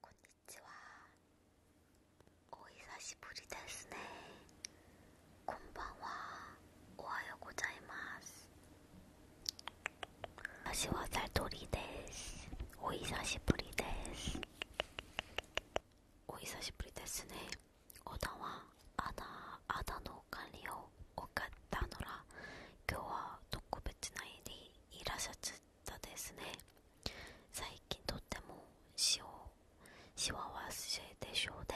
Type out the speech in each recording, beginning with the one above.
こんにちはお久しぶりですねこんばんはおはようございます私はサトリですお久しぶりですお久しぶりですねおだはあだあだの管理を行ったのら今日は特別な日にいらっしゃしたですね最近とっても塩しわわしでしょうで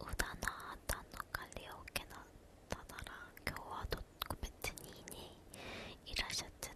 うだなあたんのカラオケだったなら今日は特別にねいらっしゃって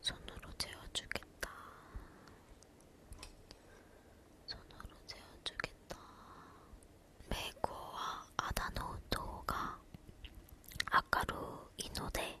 손으로 재워주겠다. 손으로 재워주겠다. 메고와 아다노 도가 아까루 이노데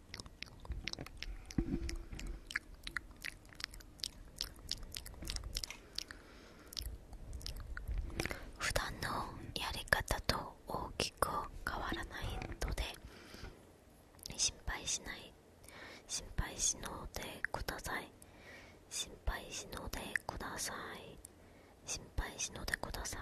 普段のやり方と大きく変わらないので心配しない心配しのでください心配しのでください心配しのでください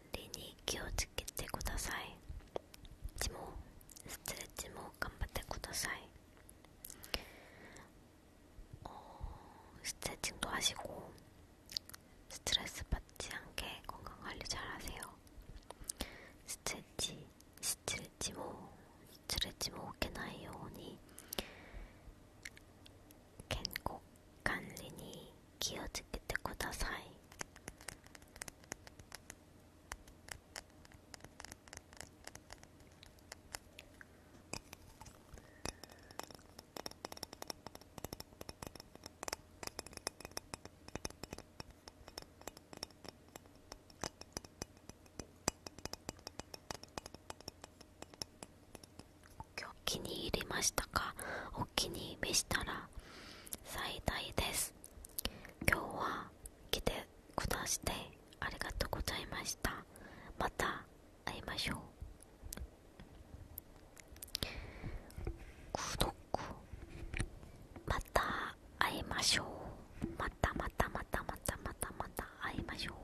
理に気をつけてくださいでもストレッチも頑張ってください어스트레칭도하시고스트레스받지않게건강관리잘하세요스트레치스트레치뭐스트레치뭐개나이오니캔곡간리니気をつけてください「今日気に入りましたかお気に召したら最大です今日は来てくだしてありがとうございましたまた会いましょうまた会いましょうまたまたまたまたまたまた会いましょう